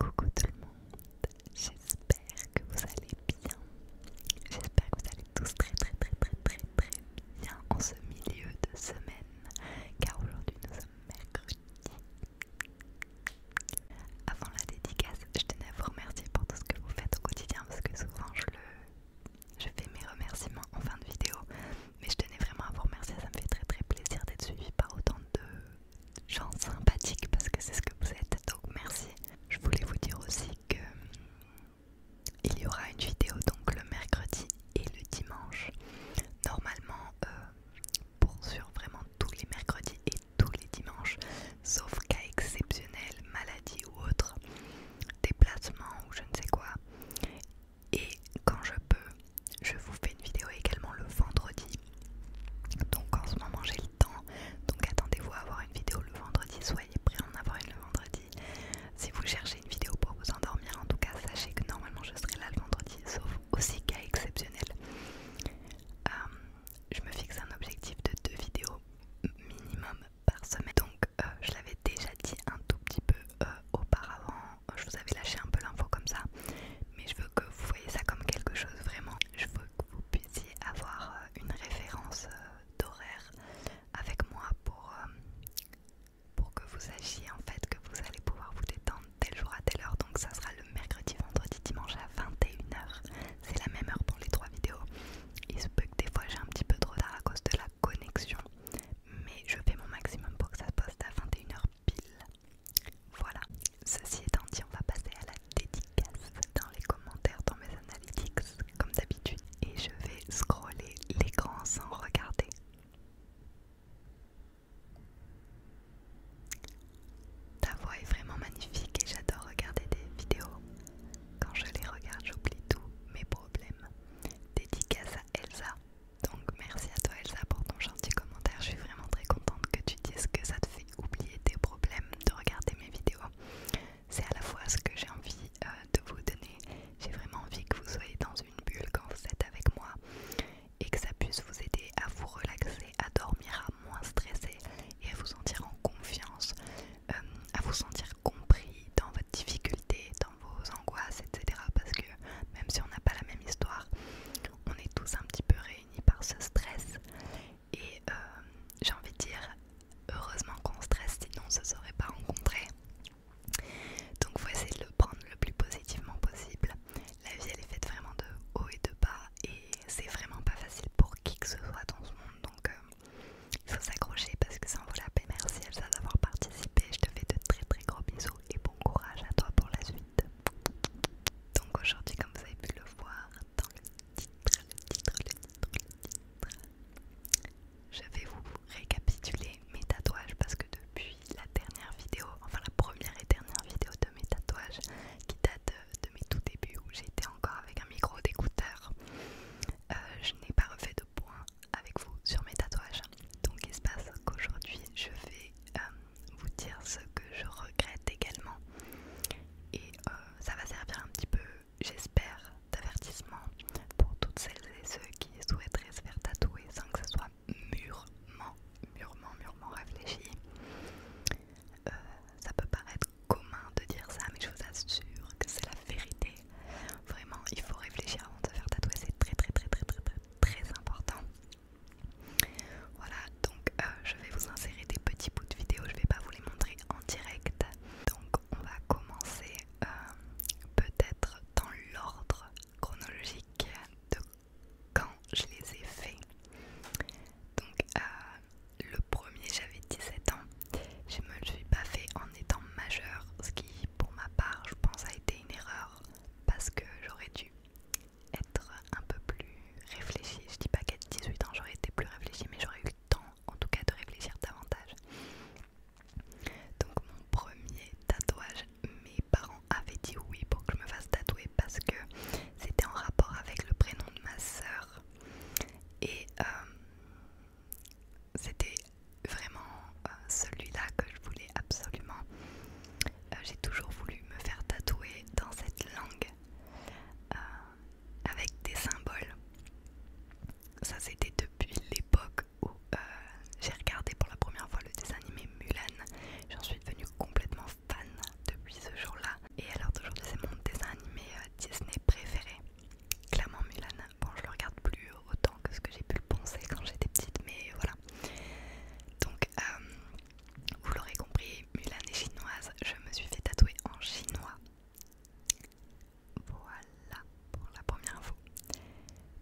Coucou tout le monde, j'espère que vous allez bien. J'espère que vous allez tous très très très très très très bien en ce milieu de semaine, car aujourd'hui nous sommes mercredi. Avant la dédicace, je tenais à vous remercier pour tout ce que vous faites au quotidien parce que souvent je je fais mes remerciements en fin de vidéo. Mais je tenais vraiment à vous remercier, ça me fait très très plaisir d'être suivi par autant de gens sympathiques parce que c'est ce que vous êtes. Donc merci. Je voulais vous dire aussi que il y aura une vidéo donc le mercredi et le dimanche. Normalement, sur euh, pour sur vraiment tous les mercredis et tous les dimanches, sauf cas exceptionnel, maladie ou autre, déplacement ou je ne sais quoi. Et quand je peux, je vous fais une vidéo également le vendredi. Donc en ce moment j'ai le temps, donc attendez-vous à avoir une vidéo le vendredi, soyez prêts à en avoir une le vendredi. Si vous cherchez une vidéo pour vous endormir, en tout cas sachez que normalement je serai là le vendredi, sauf aussi cas exceptionnel. Euh, je me fixe un objectif de deux vidéos minimum par semaine. Donc euh, je l'avais déjà dit un tout petit peu euh, auparavant, euh, je vous avais lâché un peu l'info comme ça, mais je veux que vous voyez ça comme quelque chose vraiment, je veux que vous puissiez avoir une référence d'horaire avec moi pour, pour que vous sachiez en fait que vous allez pouvoir vous détendre tel jour à telle heure, donc ça sera le mercredi, vendredi, dimanche à 21h, c'est la même heure pour les trois vidéos il se peut que des fois j'ai un petit peu trop tard à cause de la connexion, mais je fais mon maximum pour que ça poste à 21h pile. Voilà, ceci étant dit, on va passer à la dédicace dans les commentaires, dans mes analytics, comme d'habitude, et je vais scroller l'écran sans regarder. Ta voix est vraiment magnifique et j'adore regarder des vidéos. Quand je les regarde, j'oublie tous mes problèmes. Dédicace à Elsa. Donc merci à toi Elsa pour ton gentil commentaire. Je suis vraiment très contente que tu dises que ça te fait oublier tes problèmes de regarder mes vidéos. C'est à la fois ce que j'ai envie euh, de vous donner. J'ai vraiment envie que vous soyez dans une bulle quand vous êtes avec moi et que ça puisse vous aider à vous relaxer, à dormir, à moins stresser et à vous sentir en confiance. Euh, à vous sentir compris dans votre difficulté, dans vos angoisses, etc. Parce que même si on n'a pas la même histoire, on est tous un petit peu réunis par ce stress. Et euh, j'ai envie de dire, heureusement qu'on stresse, sinon on se serait pas rencontré. Donc faut essayer de le prendre le plus positivement possible. La vie elle est faite vraiment de haut et de bas et c'est vraiment pas facile pour qui que ce soit dans ce monde. Euh, il faut s'accrocher parce que ça en vaut la peine. Merci Elsa d'avoir participé. Je te fais de très très gros bisous et bon courage à toi pour la suite. Donc aujourd'hui, comme vous avez pu le voir dans le titre, le titre, le titre, le titre, je vais vous récapituler mes tatouages parce que depuis la dernière vidéo, enfin la première et dernière vidéo de mes tatouages qui date de mes tout débuts où j'étais encore avec un micro d'écouteur, euh, je n'ai pas refait de point avec vous sur mes tatouages. Donc il se passe qu'aujourd'hui je vais euh, vous dire ce que je regrette également. Et euh, ça va servir un petit peu, j'espère, d'avertissement pour toutes celles et ceux qui souhaiteraient se faire tatouer sans que ce soit mûrement, mûrement, mûrement réfléchi. ça peut paraître commun de dire ça, mais je vous assure que c'est la vérité. Vraiment, il faut réfléchir avant de se faire tatouer, c'est très, très très très très très très important. Voilà, donc euh, je vais vous insérer des petits bouts de vidéo, je vais pas vous les montrer en direct. Donc on va commencer euh, peut-être dans l'ordre chronologique de quand je les ai faits. Donc euh, le premier, j'avais 17 ans. Je me suis pas fait en étant majeure, ce qui, pour ma part, je pense a été une erreur parce que j'aurais dû être un peu plus réfléchie. Je dis pas qu'à 18 ans j'aurais été plus réfléchie, mais j'aurais eu le temps, en tout cas, de réfléchir davantage. Donc mon premier tatouage, mes parents avaient dit oui pour que je me fasse tatouer parce que c'était en rapport avec le prénom de ma sœur. Et euh, c'était vraiment euh, celui-là que je voulais absolument. Euh, j'ai toujours voulu me faire tatouer dans cette langue euh, avec des symboles. Ça c'était depuis l'époque où j'ai regardé pour la première fois le dessin animé Mulan. J'en suis devenue complètement fan depuis ce jour-là. Et alors aujourd'hui c'est mon dessin animé Disney préféré. Clairement Mulan, bon je le regarde plus autant que ce que j'ai pu le penser quand j'étais petite, mais voilà. Donc euh, vous l'aurez compris, Mulan est chinoise, je me suis fait tatouer en chinois. Voilà pour la première info.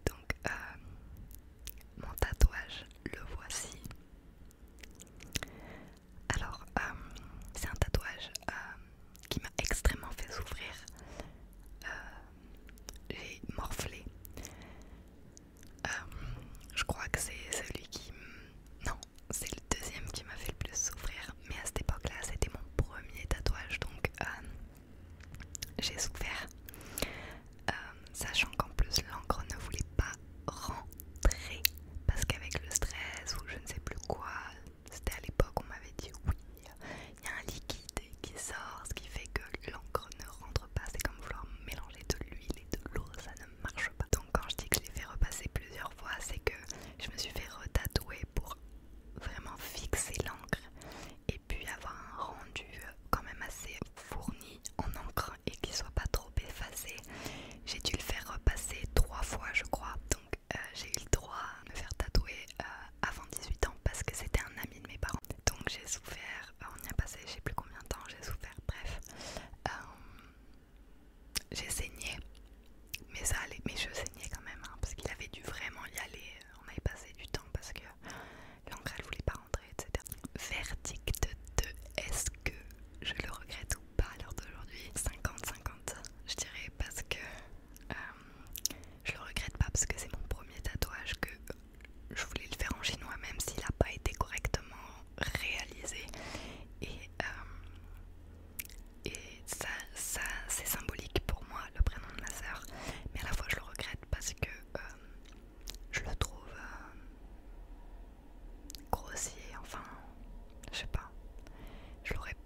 Donc euh, mon tatouage, le voici. Alors euh, c'est un tatouage qui m'a extrêmement fait souffrir. J'ai euh, morflé. Euh, je crois que c'est celui qui... Non, c'est le deuxième qui m'a fait le plus souffrir. Mais à cette époque-là, c'était mon premier tatouage. Donc euh, j'ai souffert. sachant qu'en plus l'encre ne voulait pas rentrer parce qu'avec le stress ou je ne sais plus quoi c'était à l'époque où on m'avait dit oui, il y a un liquide qui sort, ce qui fait que l'encre ne rentre pas. C'est comme vouloir mélanger de l'huile et de l'eau, ça ne marche pas. Donc quand je dis que je l'ai fait repasser plusieurs fois, c'est que je me suis fait retatouer pour vraiment fixer l'encre et puis avoir un rendu quand même assez fourni en encre et qui soit pas trop effacé. J'ai dû le faire repasser trois fois je crois. Donc euh, j'ai eu le droit de me faire tatouer euh, avant 18 ans parce que c'était un ami de mes parents. Donc j'ai souffert, euh, on y a passé je sais plus combien de temps, j'ai souffert, bref. j'ai saigné, mais ça allait, mes cheveux quand même, hein, parce qu'il avait dû vraiment y aller, on avait passé du temps parce que l'encre elle voulait pas rentrer, etc. Verdict de est-ce que je le regrette ou pas à l'heure d'aujourd'hui 50-50, je dirais, parce que euh, je le regrette pas parce que c'est mon premier tatouage que je voulais le faire en chinois même s'il n'a pas été correctement réalisé et, euh, ça, c'est symbolique pour moi le prénom de ma sœur mais à la fois je le regrette parce que euh, je le trouve grossier enfin je sais pas je l'aurais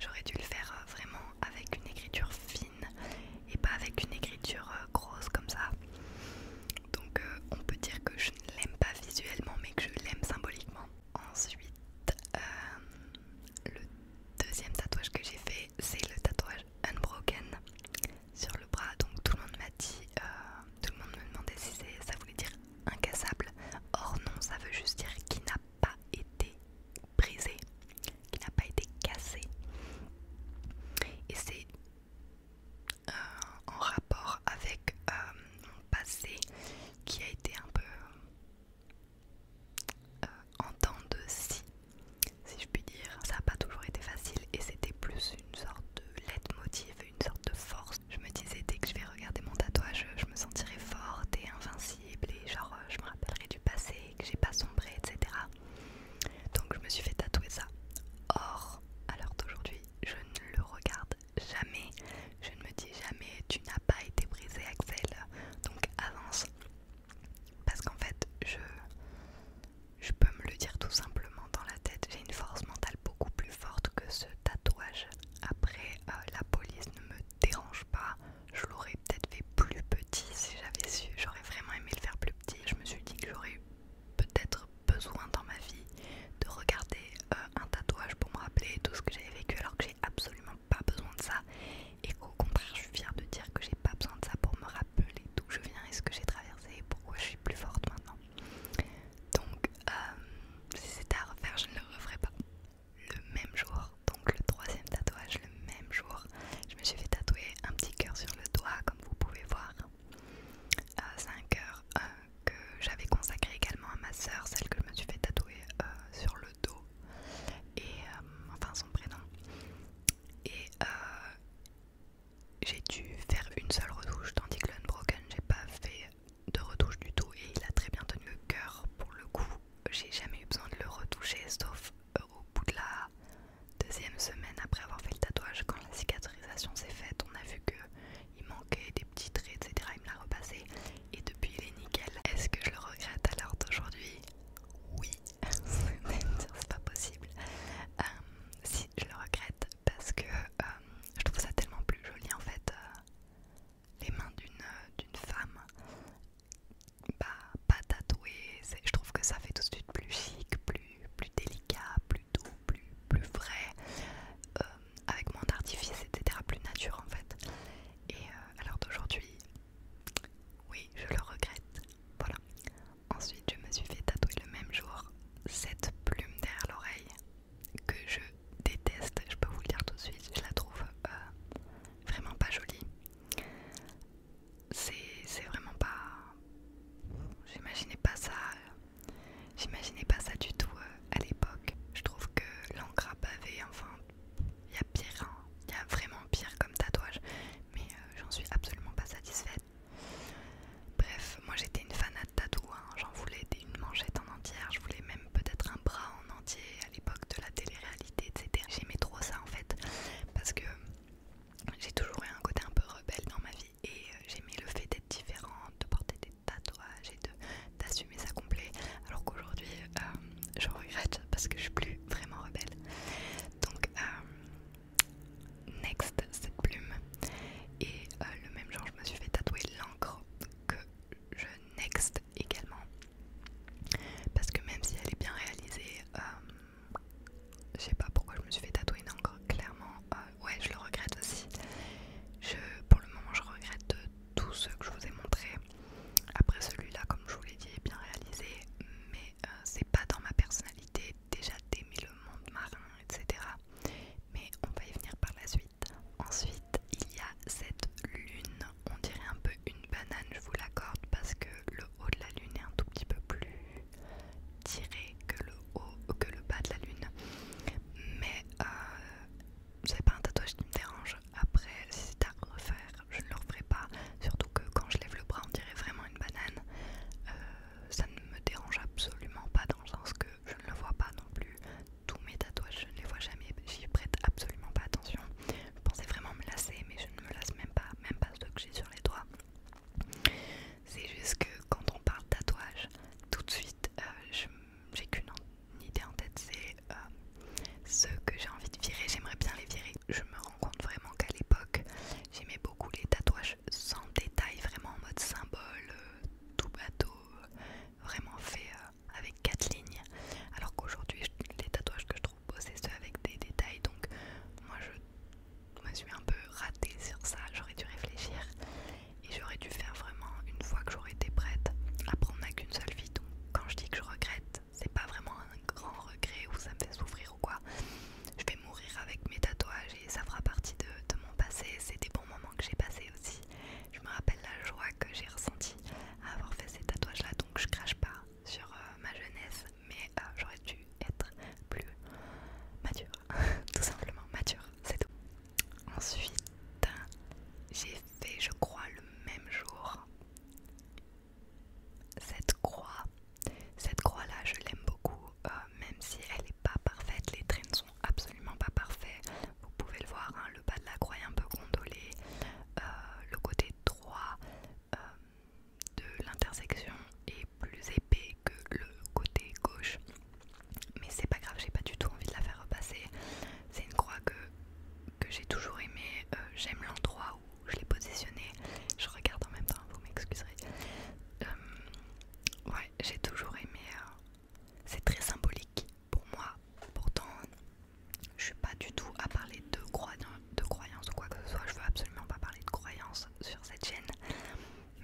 J'aurais dû le faire euh, vraiment avec une écriture fine et pas avec une écriture euh, grosse comme ça. Donc euh, on peut dire que je ne l'aime pas visuellement mais que je l'aime symboliquement. Ensuite, le deuxième tatouage que j'ai fait, c'est le tatouage Unbroken sur le bras. Donc tout le monde m'a dit, tout le monde me demandait si ça voulait dire incassable. Or non, ça veut juste dire qui n'a pas été brisé, qui n'a pas été cassé. Et c'est euh, en rapport avec euh, mon passé qui a été un peu euh, en temps de si si je puis dire. Ça n'a pas toujours été facile et c'était plus une sorte de leitmotiv, une sorte de force. Je me disais dès que je vais regarder mon tatouage, je me sentirai forte et invincible et genre euh, je me rappellerai du passé, que j'ai pas sombré, etc. Donc je me suis fait tatouer ça. Or, à l'heure d'aujourd'hui, je ne le regarde jamais. Je ne me dis jamais tu n'as pas été brisé Axel, donc avance. Parce qu'en fait, je, je peux me le dire tout simplement dans la tête. J'ai une force mentale beaucoup plus forte que ce tatouage. Après, euh, la police ne me dérange pas. Je l'aurais peut-être fait plus petit si j'avais su. J'aurais vraiment aimé le faire plus petit. Je me suis dit que j'aurais peut-être besoin dans ma vie de regarder euh, un tatouage pour me rappeler tout ce que j'avais vécu alors que j'ai absolument pas besoin de ça. Et qu'au contraire, je suis fière de dire que j'ai pas besoin de ça pour me rappeler d'où je viens et ce que j'ai traversé et pourquoi je suis plus forte maintenant. Donc, euh, si c'était à refaire, je ne le referais pas le même jour, donc le troisième tatouage le même jour, je me suis fait tatouer un petit cœur sur le doigt comme vous pouvez voir. Euh, c'est un cœur euh, que j'avais consacré également à ma soeur, celle que je me suis fait tatouer euh, sur le dos, et enfin son prénom. Et j'ai dû faire une seule retouche, tandis que Broken, j'ai pas fait de retouche du tout et il a très bien tenu le cœur pour le coup j'ai jamais eu besoin de le retoucher, sauf euh, au bout de la deuxième semaine après avoir fait le tatouage, quand la cicatrisation s'est faite, on a vu que il manquait des petits traits, etc. Il me l'a repassé et depuis il est nickel. Est-ce que je le regrette alors l'heure d'aujourd'hui Oui, c'est pas possible. Euh, si je le regrette parce que euh, je trouve ça tellement plus joli en fait, les mains d'une femme bah, pas tatoué. Je trouve que ça fait tout de suite plus chic, plus, délicat, plus doux, plus, plus vrai, euh, avec moins d'artifice, etc. Plus nature en fait. Et alors euh, d'aujourd'hui, oui, je le regrette. Voilà. Ensuite, je me suis fait tatouer le même jour cette plume derrière l'oreille que je déteste. Je peux vous le dire tout de suite, je la trouve euh, vraiment pas jolie. C'est vraiment pas... J'imaginais pas ça. J'imaginais pas ça du tout euh, à l'époque. Je trouve que l'encre à enfin, il y a pire, hein. Il y a vraiment pire comme tatouage. Mais euh, j'en suis absolument pas satisfaite. Bref, moi j'étais une fanade tatou, hein. j'en voulais une manchette en entière, je voulais même peut-être un bras en entier, l'époque de la télé-réalité, etc. J'aimais trop ça en fait, parce que j'ai toujours eu un côté un peu rebelle dans ma vie et euh, j'aimais le fait d'être différente, de porter des tatouages et d'assumer ça complet. Alors qu'aujourd'hui, euh, je regrette parce que je suis plus vraiment rebelle. Donc, euh, next, cette plume. Et le même genre, je me suis fait tatouer l'encre que je next également. Parce que même si elle est bien réalisée, euh, je sais pas pourquoi je me suis fait tatouer une encre, clairement. Euh, ouais, je le regrette aussi. Je, pour le moment, je regrette Tout ce que je vous ai montré Après celui-là, comme je vous l'ai dit, est bien réalisé, mais euh, c'est pas dans ma personnalité. Déjà d'aimer le monde marin, etc. Mais on va y venir par la suite. Ensuite, il y a cette lune, on dirait un peu une banane, je vous l'accorde, parce que le haut de la lune est un tout petit peu plus tiré que le haut, que le bas de la lune. Mais c'est euh, pas un tatouage qui me dérange. Après, si c'est à refaire, je ne le referai pas. Surtout que quand je lève le bras, on dirait vraiment une banane. Euh, ça ne me dérange absolument pas dans le sens que je ne le vois pas non plus. Tous mes tatouages, je ne les vois jamais. J'y prête absolument pas attention. Je pensais vraiment me lasser, mais je ne me lasse même pas, même pas ceux que j'ai sur les doigts. C'est juste que quand on parle tatouage, tout de suite, euh, j'ai qu'une idée en tête, c'est euh, ceux que j'ai envie de virer. J'aimerais bien les virer. Je me rends compte vraiment qu'à l'époque, j'aimais beaucoup les tatouages sans détail, vraiment en mode symbole, euh, tout bateau, vraiment fait avec quatre lignes. Alors qu'aujourd'hui, les tatouages que je trouve ce avec des détails. Donc moi je me suis un peu ratée sur ça. J'aurais dû réfléchir et j'aurais dû faire vraiment une fois que j'aurais été prête. Après on n'a qu'une seule vie. Donc quand je dis que je regrette, c'est pas vraiment un grand regret ou ça me fait souffrir ou quoi. Je vais mourir avec mes tatouages et ça fera partie de, de mon passé. C'est des bons moments que j'ai passés aussi. Je me rappelle la joie que j'ai ressentie à avoir fait ces tatouages là. Donc je crache pas sur euh, ma jeunesse, mais euh, j'aurais dû être plus mature, tout simplement mature, c'est tout. Ensuite, j'ai fait, je crois, le même jour cette croix. Cette croix-là, je l'aime beaucoup, euh, même si elle n'est pas parfaite, les traits ne sont absolument pas parfaits. Vous pouvez le voir, hein, le bas de la croix est un peu gondolé, le côté droit de l'intersection est plus épais que le côté gauche. Mais c'est pas grave, j'ai pas du tout envie de la faire repasser. C'est une croix que, que j'ai toujours aimé. Euh, j'aime l'endroit où je l'ai positionnée. Je regarde en même temps, vous m'excuserez. Euh, ouais, j'ai toujours aimé. Euh, c'est très symbolique pour moi. Pourtant, je suis pas du tout à parler de, croyance, croyances ou quoi que ce soit, je veux absolument pas parler de croyances sur cette chaîne,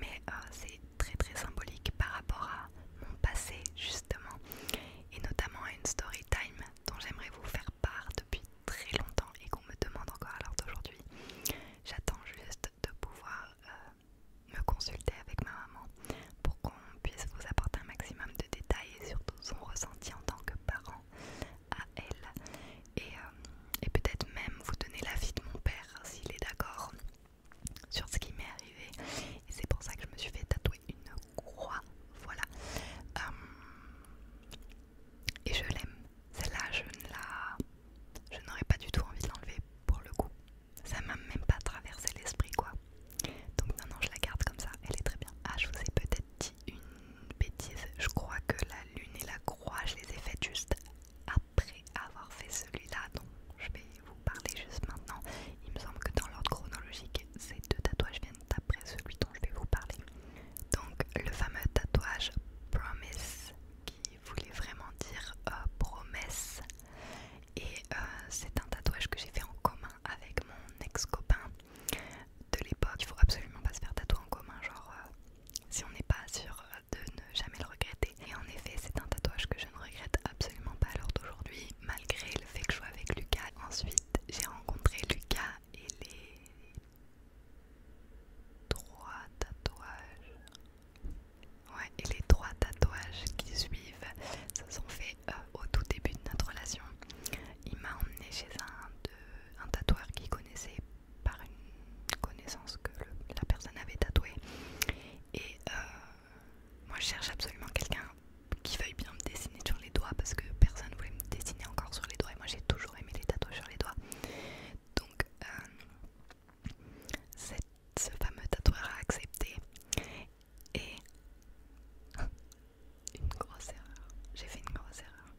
mais euh, c'est très très symbolique par rapport à mon passé justement, et notamment à une story time dont j'aimerais vous faire part depuis très longtemps et qu'on me demande encore à l'heure d'aujourd'hui. J'attends juste de pouvoir euh, me consulter avec ma maman pour qu'on puisse vous apporter un maximum de détails et surtout son ressenti en tant que parent à elle. Euh, et, peut-être même vous donner l'avis de mon père s'il est d'accord sur ce qui m'est arrivé. Et c'est pour ça que je me suis fait tatouer une croix. Voilà. Euh, et je l'aime. Celle-là, je ne la... Je n'aurais pas du tout envie de l'enlever pour le coup. Ça m'a même pas traversé l'esprit quoi. Donc non, non, je la garde comme ça. Elle est très bien. Ah, je vous ai peut-être une bêtise. Je crois que la lune et la croix, je les ai faites juste après avoir fait celui-là dont je vais vous parler juste maintenant. Il me semble que dans l'ordre chronologique, ces deux tatouages viennent après celui dont je vais vous parler. Donc le fameux tatouage Promise qui voulait vraiment dire euh, promesse. Et euh, c'est un tatouage que j'ai fait en commun avec mon ex-copain de l'époque. Il faut absolument pas se faire tatouer en commun, genre euh, si on n'est pas sûr de ne jamais le regretter. Et en effet, c'est un tatouage que je ne regrette absolument pas à l'heure d'aujourd'hui, malgré le fait que je sois avec Lucas. Ensuite, j'ai rencontré Lucas et les trois tatouages. Ouais, et les trois tatouages qui suivent se sont faits euh, au tout début de notre relation. Il m'a emmené chez un de un tatoueur qui connaissait par une connaissance que la personne avait tatoué. Et euh, moi je cherche absolument quelqu'un qui veuille bien me dessiner sur les doigts parce que personne ne voulait me dessiner encore sur les doigts et moi j'ai toujours aimé les tatouages sur les doigts. Donc euh, ce fameux tatoueur a accepté et une grosse erreur. J'ai fait une grosse erreur.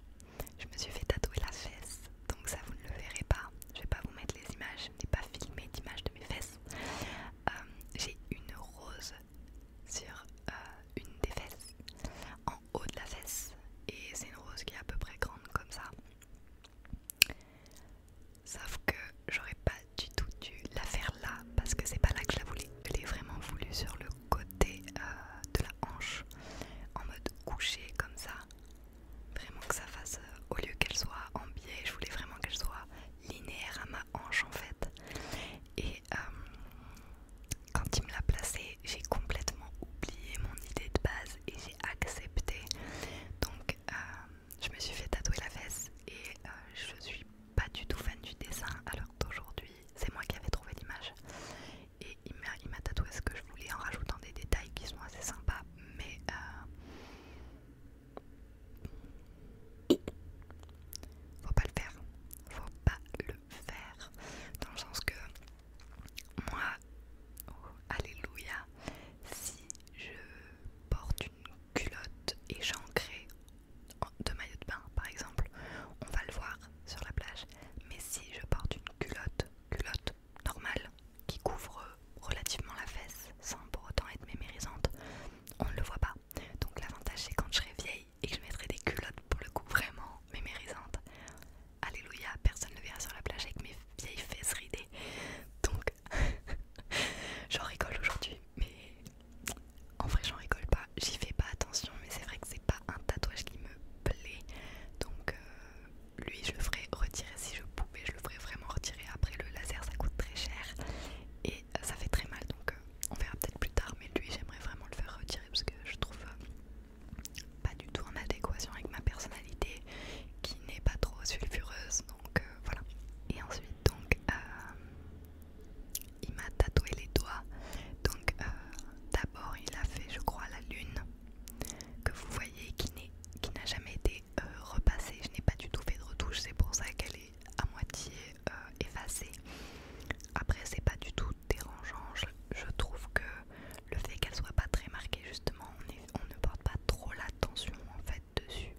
Je me suis fait tatouer la fesse, donc ça vous ne le verrez pas. Je vais pas vous mettre les images, je n'ai pas filmé d'image de mes fesses. Euh, j'ai une rose sur euh, une des fesses, en haut de la fesse, et c'est une rose qui est à peu près grande comme ça. Sauf que j'aurais pas du tout dû la faire là parce que c'est pas là que je Je l'ai vraiment voulu sur le côté euh, de la hanche en mode couché comme ça vraiment que ça fasse euh, au lieu qu'elle soit en biais je voulais vraiment qu'elle soit linéaire à ma hanche en fait et euh, quand il me l'a placé j'ai complètement oublié mon idée de base et j'ai accepté donc je me suis fait tatouer la fesse et je suis pas du tout fan du dessin alors qu'aujourd'hui c'est moi qui avais trouvé l'image et il m'a tatoué ce que je voulais en rajoutant des détails qui sont assez sympas mais euh, faut pas le faire faut pas le faire dans le sens que moi oh, alléluia si je porte une culotte et j'en deux de maillot de bain par exemple on va le voir sur la plage. Mais si je porte une culotte, culotte normale, qui couvre relativement la fesse, sans pour autant être mémérisante, on ne le voit pas. Donc l'avantage c'est quand je serai vieille et que je mettrai des culottes pour le coup vraiment mémérisantes. Alléluia, personne ne verra sur la plage avec mes vieilles fesses ridées. Donc j'en rigole aujourd'hui, mais en vrai j'en rigole pas. J'y fais pas attention, mais c'est vrai que c'est pas un tatouage qui me donc euh, lui, je le ferai retirer si je pouvais. Je le ferais vraiment retirer après le laser, ça coûte très cher et euh, ça fait très mal. Donc euh, on verra peut-être plus tard. Mais lui, j'aimerais vraiment le faire retirer parce que je trouve pas du tout en adéquation avec ma personnalité qui n'est pas trop sulfureuse. Donc voilà. Et ensuite donc. il m'a tatoué les doigts, donc d'abord il a fait je crois la lune que vous voyez qui n'a jamais été euh, repassée. Je n'ai pas du tout fait de retouche, c'est pour ça qu'elle est à moitié euh, effacée. Après c'est pas du tout dérangeant, je, trouve que le fait qu'elle soit pas très marquée justement, on, ne porte pas trop l'attention en fait dessus.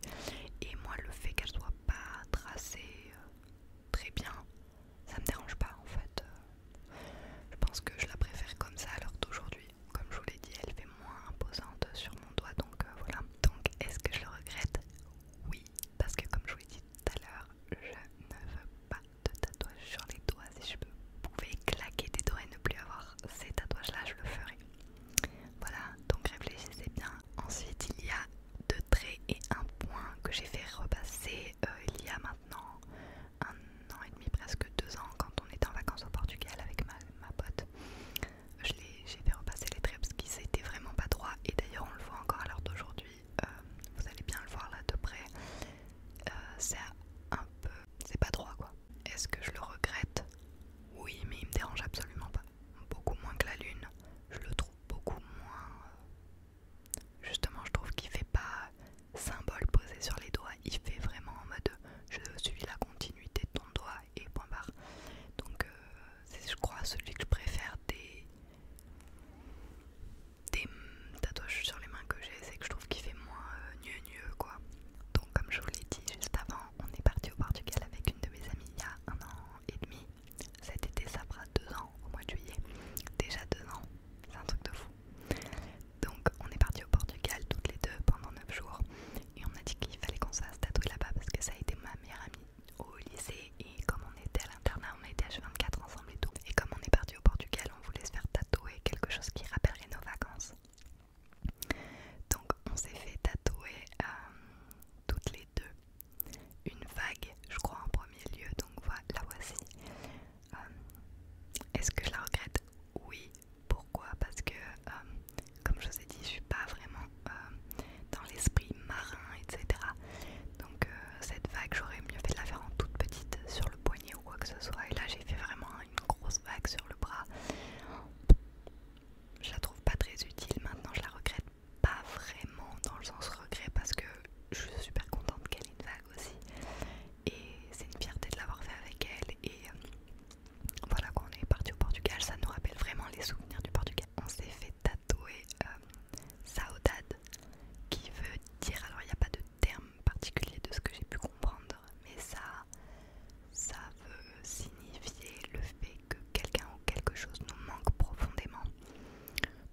Et moi le fait qu'elle soit pas tracée euh, très bien, ça me dérange pas en fait. Euh, je pense que je la préfère comme ça alors d'aujourd'hui. Comme je vous l'ai dit, elle fait moins imposante sur mon doigt donc euh, voilà. Donc est-ce que je le regrette Oui, parce que comme je vous l'ai dit tout à l'heure, je ne veux pas de tatouage sur les doigts. Si je pouvais claquer des doigts et ne plus avoir ces tatouages-là, je le ferais. Voilà, donc réfléchissez bien. Ensuite, il y a deux traits et un point que j'ai fait repasser euh, il y a maintenant un an et demi, presque deux ans, quand on était en vacances au Portugal avec ma, pote. J'ai fait repasser les traits parce qu'ils n'était vraiment pas droit. et d'ailleurs on le voit encore à l'heure d'aujourd'hui. Euh, vous allez bien le voir là de près. Euh, c'est un peu... c'est pas droit quoi. Est-ce que je le regrette Oui mais il me dérange absolument pas. Beaucoup moins que la lune. Je le trouve beaucoup moins Justement, je trouve qu'il fait pas symbole posé sur les doigts, il fait vraiment en mode je suis la continuité de ton doigt et point barre. Donc, euh, c'est, je crois, celui que je préfère des, des tatouages sur les mains que j'ai, c'est que je trouve qu'il fait moins mieux euh, quoi. Donc, comme je vous l'ai dit juste avant, on est parti au Portugal avec une de mes amies il y a un an et demi. Cet été, ça fera deux ans au mois de juillet. Déjà deux ans, c'est un truc de fou. Donc on est parti au Portugal toutes les deux pendant 9 jours et on a dit qu'il fallait qu'on se fasse tatouer là-bas parce que ça a été ma meilleure amie au lycée et comme on était à l'internat, on était H24 ensemble et tout. Et comme on est parti au Portugal, on voulait se faire tatouer quelque chose qui rappellerait nos vacances. Donc on s'est fait tatouer euh, toutes les deux une vague, je crois en premier lieu, donc voilà, la voici. Euh, est-ce que je la regrette Oui. Pourquoi Parce que, euh, comme je vous ai dit, je suis pas vraiment euh, dans l'esprit marin, etc. Donc cette vague, j'aurais mieux fait de la faire en toute petite sur le poignet ou quoi que ce soit. Et là, j'ai fait vraiment une grosse vague sur le bras. Je la trouve pas très utile. Maintenant, je la regrette pas vraiment dans le sens regret parce que je suis super contente qu'elle ait une vague aussi. Et c'est une fierté de l'avoir fait avec elle. Et euh, voilà, quand on est parti au Portugal, ça nous rappelle vraiment les souvenirs du Portugal. On s'est fait tatouer euh, Saudade, qui veut dire, alors il n'y a pas de terme particulier de ce que j'ai pu comprendre, mais ça, ça veut signifier le fait que quelqu'un ou quelque chose nous manque profondément.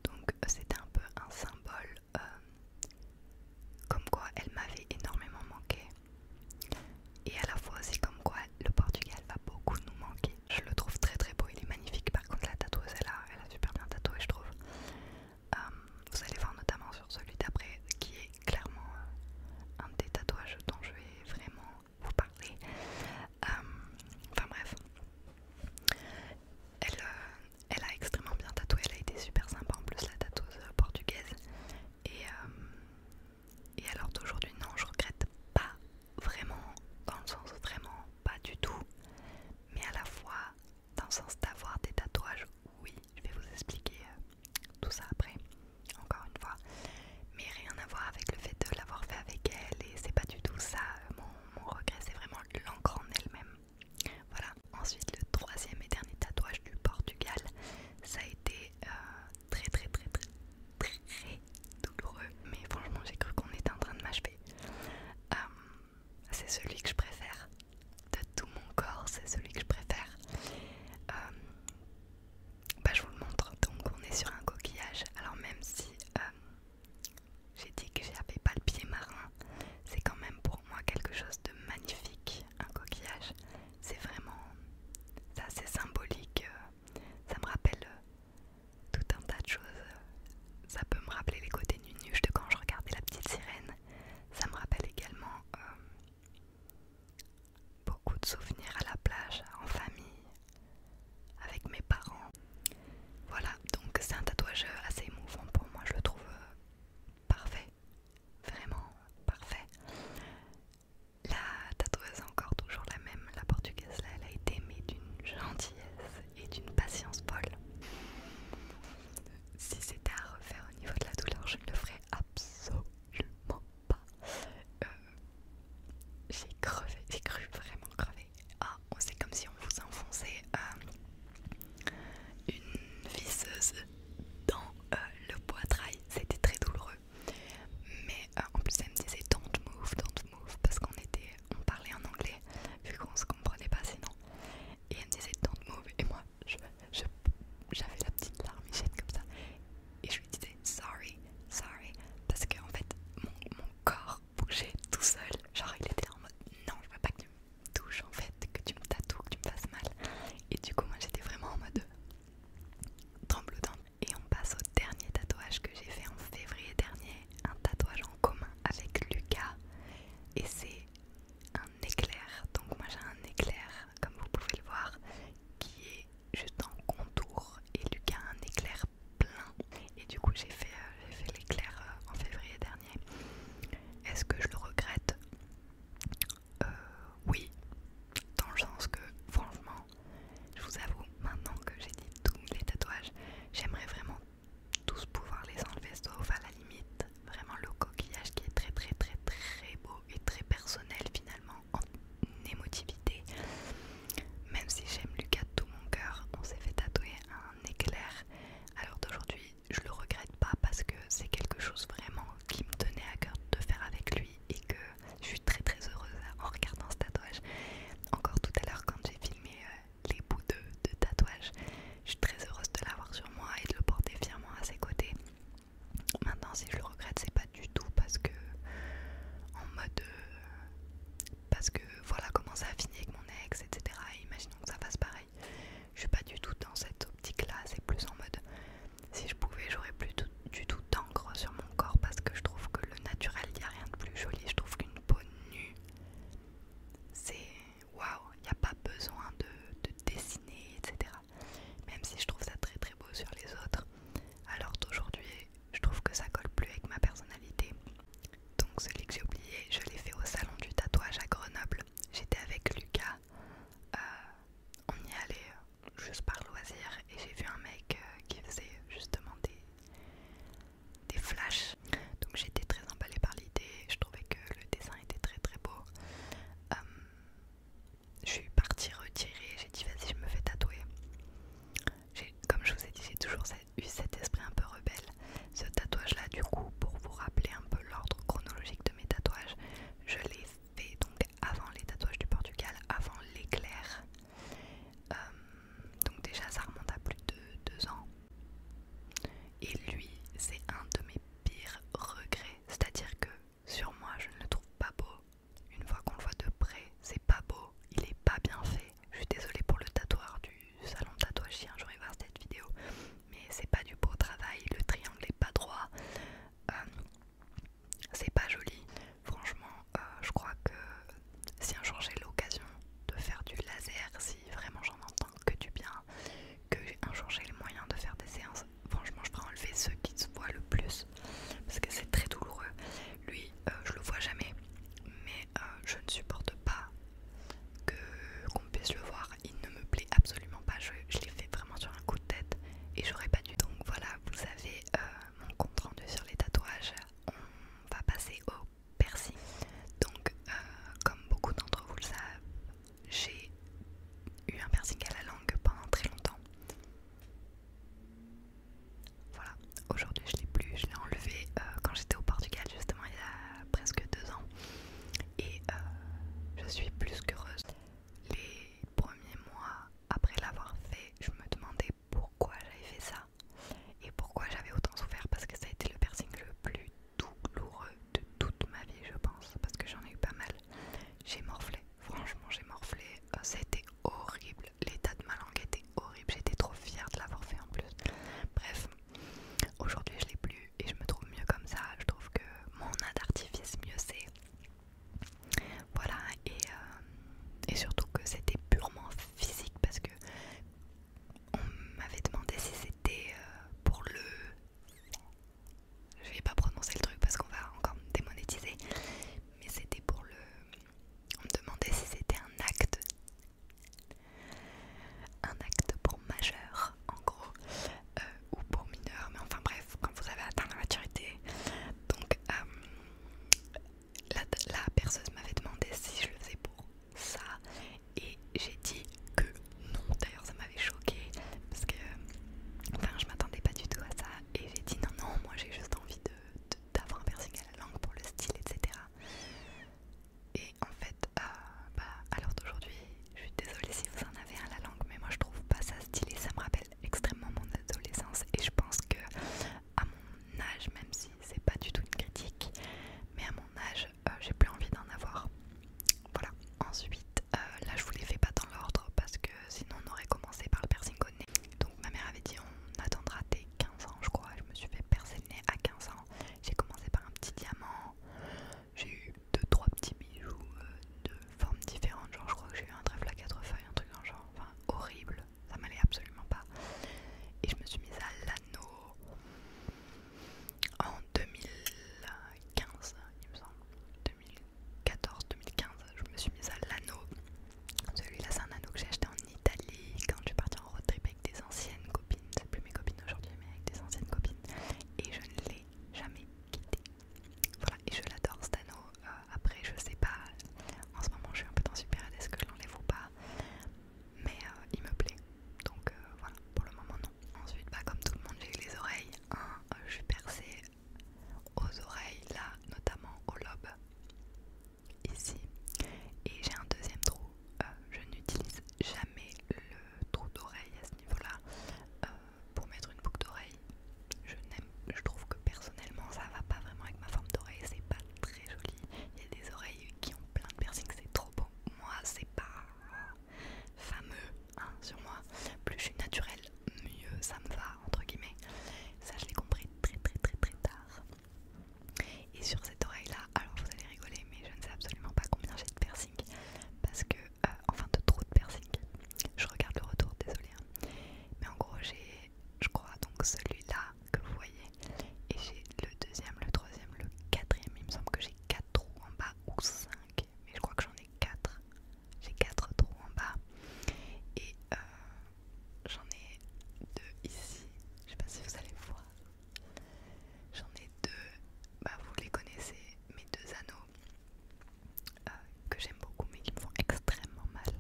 Donc euh, c'était un peu un symbole comme quoi elle m'avait énormément manqué. Et à la fois c'est comme quoi le Portugal va beaucoup nous manquer. Je le trouve très très beau, il est magnifique. Par contre la tatoueuse elle a, elle a super bien tatoué je trouve. Euh, vous allez voir notamment sur celui d'après qui est clairement euh, un des tatouages dont je vais vraiment vous parler. Euh, enfin bref. Elle, elle a extrêmement bien tatoué, elle a été super sympa en plus la tatoueuse euh, portugaise. Et, euh, et alors d'aujourd'hui, non, je regrette pas vraiment, dans le sens vraiment pas du tout, mais à la fois dans le sens d'avoir des tatouages, oui, je vais vous expliquer euh, tout ça après, encore une fois, mais rien à voir avec le fait de l'avoir fait avec elle, et c'est pas du tout ça, mon regret, c'est vraiment l'encre en elle-même. Voilà, ensuite le troisième et dernier tatouage du Portugal, ça a été euh, très, très très très très douloureux, mais franchement j'ai cru qu'on était en train de m'achever. Euh, c'est celui que je préfère de tout mon corps, c'est celui que je préfère. Euh, bah, je vous le montre. Donc, on est sur un coquillage. Alors, même si j'ai dit que j'avais pas le pied marin, c'est quand même pour moi quelque chose de magnifique, un coquillage. C'est vraiment, c'est assez symbolique, euh, ça me rappelle euh, tout un tas de choses. Ça peut me rappeler les côtés nunuches de quand je regardais la petite sirène. Ça me rappelle également euh, beaucoup de souvenirs à la plage, en famille, avec mes parents. Voilà, donc c'est un tatouage assez émouvant pour moi, je le trouve parfait vraiment parfait. La tatoueuse encore toujours la même, la portugaise là, elle a été aimée d'une gentillesse et d'une patience folle. Si c'était à refaire au niveau de la douleur, je ne le ferais absolument pas. Euh, j'ai crevé, j'ai cru vraiment crevé. Ah, c'est comme si on vous enfonçait euh, une visseuse dans euh, le poitrail. C'était très douloureux. Mais euh, en plus, elle me disait don't move, don't move, parce qu'on était, on parlait en anglais, vu qu'on se comprenait pas sinon. Et elle me disait don't move, et moi, j'avais la petite larmichette comme ça, et je lui disais sorry, sorry, parce qu'en fait, mon, corps bougeait tout seul. Genre, il était en mode non, je veux pas que tu touche en fait, que tu me tatoues, que tu me fasses mal. Et du coup, moi j'étais vraiment en mode tremblement Et on passe au dernier tatouage que j'ai fait en février dernier, un tatouage en commun avec Lucas. Et c'est un éclair. Donc, moi j'ai un éclair, comme vous pouvez le voir, qui est juste en contour. Et Lucas a un éclair plein. Et du coup, j'ai fait, euh, j'ai fait l'éclair euh, en février dernier. Est-ce que je le regrette euh, oui, dans le sens que franchement, je vous avoue, maintenant que j'ai dit tous les tatouages, j'aimerais vraiment tous pouvoir les enlever, sauf à la limite, vraiment le coquillage qui est très très très très beau et très personnel finalement, en émotivité. Même si j'aime Lucas de tout mon cœur, on s'est fait tatouer un éclair à l'heure d'aujourd'hui je le regrette pas parce que c'est quelque chose vraiment qui me tenait à cœur de faire avec lui et que je suis très très heureuse en regardant ce tatouage. Encore tout à l'heure quand j'ai filmé euh, les bouts de, tatouage, je suis très heureuse de l'avoir sur moi et de le porter fièrement à ses côtés. Maintenant si je le regrette c'est pas du tout parce que en mode euh, parce que voilà comment ça a fini avec mon ex etc. Imaginons que ça fasse pareil je suis pas du tout dans cette optique-là, c'est plus en mode si je pouvais, j'aurais plus du tout d'encre sur mon corps parce que je trouve que le naturel, il n'y a rien de plus joli. Je trouve qu'une peau nue, c'est waouh, il n'y a pas besoin de, dessiner, etc. Même si je trouve ça très très beau sur les autres, alors d'aujourd'hui, je trouve que ça colle plus avec ma personnalité. Donc celui que j'ai oublié, je l'ai fait au salon du tatouage à Grenoble. J'étais avec Lucas euh, on y allait euh, juste par loisir et j'ai vu un mec euh, qui faisait justement des, flashs. Donc j'étais très emballée par l'idée, je trouvais que le dessin était très très beau. je suis partie retirer j'ai dit vas-y je me fais tatouer. Comme je vous ai dit, j'ai toujours eu cet esprit un peu rebelle. Ce tatouage là du coup, pour vous rappeler un peu l'ordre chronologique de mes tatouages, je l'ai fait donc avant les tatouages du Portugal, avant l'éclair. Euh, donc déjà ça remonte à plus de 2 ans. Et lui, c'est un de mes pires regrets. C'est-à-dire que sur moi, je ne le trouve pas beau. Une fois qu'on le voit de près, c'est pas beau. Il est pas bien fait. Je suis désolée pour le tatoueur du salon de tatouage chien. J'aurais voir cette vidéo mais c'est pas du beau travail, le triangle est pas droit, euh, c'est pas joli. Franchement, euh, je crois que si un jour j'ai l'occasion de faire du laser, si vraiment j'en entends que du bien, que un jour j'ai le moyen de faire des séances, franchement je ferai enlever ceux qui se voient le plus parce que c'est très douloureux. Lui, euh, je le vois jamais, mais je ne supporte pas qu'on puisse le voir il ne me plaît absolument pas, je, l'ai fait vraiment sur un coup de tête et j'aurais pas dû. Donc voilà, vous avez euh, mon compte rendu sur les tatouages, on va passer au piercing. Donc euh, comme beaucoup d'entre vous le savent, j'ai eu un piercing à la langue pendant très longtemps. Voilà, aujourd'hui je l'ai plus, je l'ai enlevé euh, quand j'étais au Portugal justement il y a presque deux ans et je suis plus qu'heureuse les premiers mois après l'avoir fait, je me demandais pourquoi j'avais fait ça et pourquoi j'avais autant souffert parce que ça a été le piercing le plus douloureux de toute ma vie, je pense, parce que j'en ai eu pas mal. J'ai morflé, franchement, j'ai morflé, euh, a c'était horrible. L'état de ma langue était horrible, j'étais trop fière de l'avoir fait en plus. Bref, aujourd'hui je l'ai plus, et je me trouve mieux comme ça. Je trouve que mon âme d'artifice, mieux c'est. Voilà, euh, et, surtout que c'était purement physique parce que on m'avait demandé si c'était euh, pour le. Je vais pas prononcer le truc parce qu'on va encore me démonétiser, mais c'était pour le. On me demandait si c'était un acte. Un acte pour majeur, en gros. Euh, ou pour mineur mais enfin bref, quand vous avez atteint la maturité. Donc euh, la, perceuse m'avait demandé si je le faisais pour ça et j'ai dit que non. D'ailleurs ça m'avait choqué parce que enfin je m'attendais pas du tout à ça et j'ai dit non non moi j'ai juste envie d'avoir un piercing à la langue pour le style etc. Et en fait, euh, bah, à l'heure d'aujourd'hui, je suis désolée si vous en avez un à la langue, mais moi je trouve pas ça stylé. Ça me rappelle extrêmement mon adolescence et je pense que à mon âge, même si c'est pas du tout une critique, mais à mon âge, euh, j'ai plus envie d'en avoir. Voilà. Ensuite, euh, là je vous les fais pas dans l'ordre parce que sinon on aurait commencé par le piercing au nez. Donc ma mère avait dit on attendra tes 15 ans, je crois. Je me suis fait percer le nez à 15 ans. J'ai commencé par un petit diamant. J'ai eu 2-3 petits bijoux euh, de formes différentes, genre je crois que j'ai eu un trèfle à quatre feuilles, un truc en genre, enfin horrible, ça m'allait absolument pas. Et je me suis mise à l'anneau en 2015, il me semble, 2014-2015, je me suis mise à l'anneau. Celui-là c'est un anneau que j'ai acheté en Italie quand je suis partie en road trip avec des anciennes copines, c'est plus mes copines aujourd'hui mais avec des anciennes copines et je ne l'ai jamais quitté. Voilà, et je l'adore cet anneau. Euh, après, je sais pas, en ce moment je suis un peu dans super est-ce que je l'enlève ou pas, mais euh, il me plaît. Donc euh, voilà, pour le moment non. Ensuite, bah, comme tout le monde, j'ai eu les oreilles. Hein, je suis percée aux oreilles, là, notamment au lobe, ici. Et j'ai un deuxième trou. je n'utilise jamais le trou d'oreille à ce niveau-là pour mettre une boucle d'oreille. Je n'aime, je trouve que personnellement ça va pas vraiment avec ma forme d'oreille, c'est pas très joli. Il y a des oreilles qui ont plein de piercings, c'est trop beau. Moi, c'est pas fameux hein, sur moi. Plus je suis naturelle, mieux ça me va entre guillemets. Ça, je l'ai compris très très très très tard. Et sur cette oreille là, alors vous allez rigoler, mais je ne sais absolument pas combien j'ai de piercings parce que euh, enfin de trous de piercing. Je regarde le retour, désolé. Hein. Mais en gros, j'ai, je crois, donc celui-là que vous voyez. Et j'ai le deuxième, le troisième, le quatrième. Il me semble que j'ai quatre trous en bas ou cinq. Mais je crois que j'en ai quatre. J'ai quatre trous en bas. Et euh, j'en ai deux ici. Je sais pas si vous allez voir. J'en ai deux. Bah, vous les connaissez, mes deux anneaux. Euh, que j'aime beaucoup mais qui me font extrêmement mal.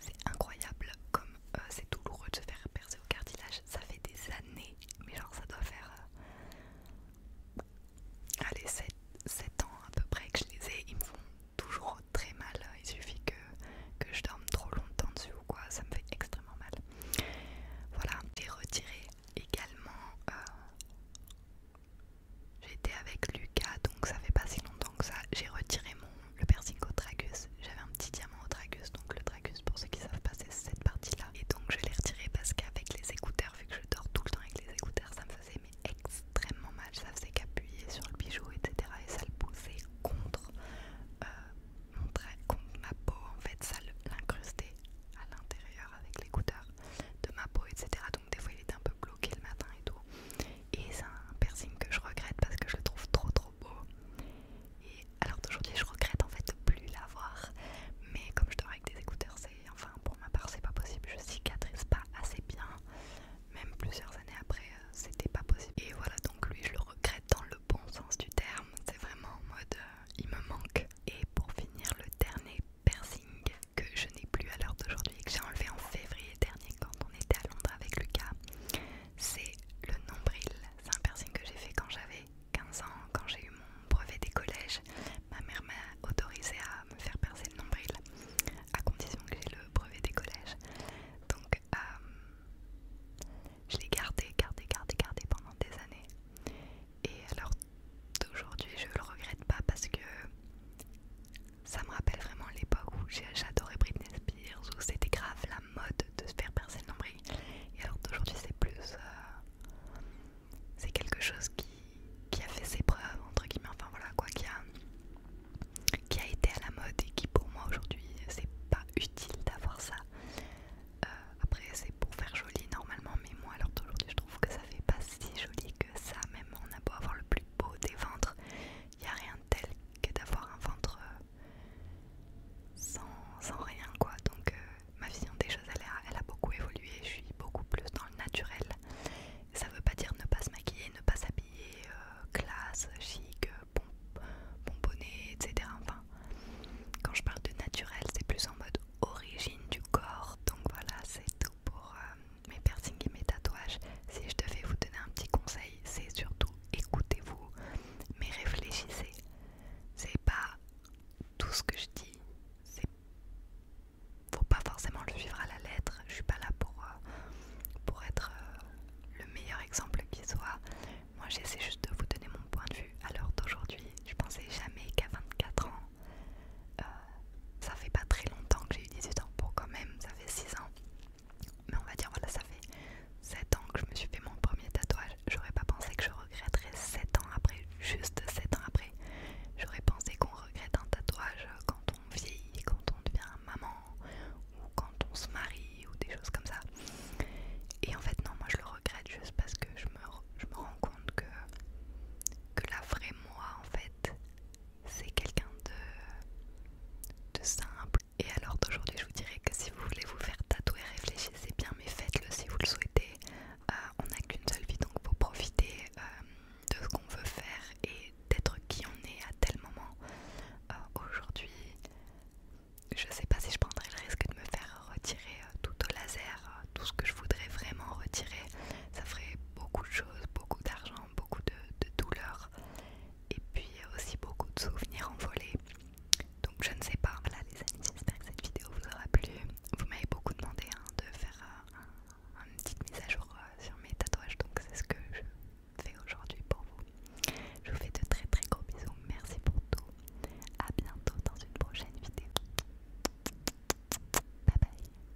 C'est incroyable comme euh, c'est douloureux de se faire percer au cartilage. Ça fait des années, mais genre ça doit faire euh, allez 7, ans à peu près que je les ai. Ils me font toujours très mal. Il suffit que, que je dorme trop longtemps dessus ou quoi. Ça me fait extrêmement mal. Voilà, et retiré également J'étais avec Lucas, donc ça fait pas si longtemps que ça. J'ai retiré mon, le piercing au tragus. J'avais un petit diamant au tragus, donc le tragus, pour ceux qui savent pas, c'est cette partie-là. Et donc je l'ai retiré parce qu'avec les écouteurs, vu que je dors tout le temps avec les écouteurs, ça me faisait mais extrêmement mal. Ça faisait qu'appuyer sur le bijou, etc. Et ça le poussait contre, euh, mon contre ma peau, en fait, ça l'incrustait à l'intérieur avec l'écouteur de ma peau, etc. Donc des fois il était un peu bloqué le matin et tout. Et c'est un piercing que je regrette parce que je le trouve trop trop beau. Et alors d'aujourd'hui je regrette en fait de plus l'avoir. Mais comme je dors avec des écouteurs, c'est enfin pour ma part c'est pas possible. Je cicatrise pas assez bien. Même plusieurs années après, euh, c'était pas possible. Et voilà donc lui je le regrette dans le bon sens du terme. C'est vraiment en mode euh, il me manque. Et pour finir le dernier piercing que je n'ai plus à l'heure d'aujourd'hui que j'ai enlevé en février dernier quand on était à Londres avec Lucas, c'est le nombril. C'est un piercing que j'ai fait quand j'avais 15 ans, quand j'ai eu mon brevet des collèges. Ma mère m'a autorisé à me faire percer le nombril, à condition que j'ai le brevet des collèges. Donc, euh, je l'ai gardé, gardé, gardé, gardé pendant des années. Et à l'heure d'aujourd'hui, je le regrette pas parce que ça me rappelle vraiment l'époque où j'adorais Britney Spears, où c'était grave la mode de se faire percer le nombril. Et alors d'aujourd'hui, c'est plus. Euh, c'est quelque chose qui, a fait ses preuves, entre guillemets, enfin voilà, quoi, qui a, qui a été à la mode et qui pour moi aujourd'hui, c'est pas utile d'avoir ça. Euh, après, c'est pour faire joli normalement, mais moi, alors d'aujourd'hui, je trouve que ça fait pas si joli que ça, même on a beau avoir le plus beau des ventres, il n'y a rien de tel que d'avoir un ventre euh, sans, rien quoi. Donc euh, ma vision des choses, elle a, a beaucoup évolué, je suis beaucoup plus dans le naturel. Ça veut pas dire ne pas se maquiller, ne pas s'habiller, euh, classe, chic, bon, etc. Enfin, quand je parle de naturel, c'est plus en mode origine du corps. Donc voilà, c'est tout pour mes piercings et mes tatouages, si je devais vous donner un petit conseil, c'est surtout écoutez-vous, mais réfléchissez. C'est pas tout ce que je dis, c'est faut pas forcément le suivre à la lettre. Je suis pas là pour, euh, pour être euh, le meilleur exemple qui soit. Moi, j'essaie juste de vous donner mon point de vue à l'heure d'aujourd'hui. Je pensais jamais qu'à 24 ans, euh, ça fait pas très longtemps que j'ai eu 18 ans, bon quand même, ça fait 6 ans. Mais on va dire, voilà, ça fait 7 ans que je me suis fait mon premier tatouage. J'aurais pas pensé que je regretterais 7 ans après, juste 7 ans après. J'aurais pensé qu'on regrette un tatouage quand on vieillit, quand on devient maman, ou quand on se marie, ou des choses comme ça. Et en fait, non, moi je le regrette juste parce que je me, je me rends compte que, que la vraie moi, en fait, c'est quelqu'un de, simple. Et alors d'aujourd'hui, je vous dirais que si vous voulez vous faire tatouer, réfléchissez bien, mais faites-le si vous le souhaitez. Euh, on n'a qu'une seule vie, donc faut profiter euh, de ce qu'on veut faire et d'être qui on est à tel moment. Euh, aujourd'hui, je ne sais pas si je prendrai le risque de me faire retirer tout au laser, tout ce que je voudrais vraiment retirer. Ça ferait beaucoup de choses, beaucoup d'argent Hein, beaucoup de, douleurs et puis aussi beaucoup de souvenirs envolés. Donc je ne sais pas. Voilà les amis, j'espère que cette vidéo vous aura plu. Vous m'avez beaucoup demandé hein, de faire un, petit petite mise à jour euh, sur mes tatouages, donc c'est ce que je fais aujourd'hui pour vous. Je vous fais de très très gros bisous. Merci pour tout. À bientôt dans une prochaine vidéo. Bye bye.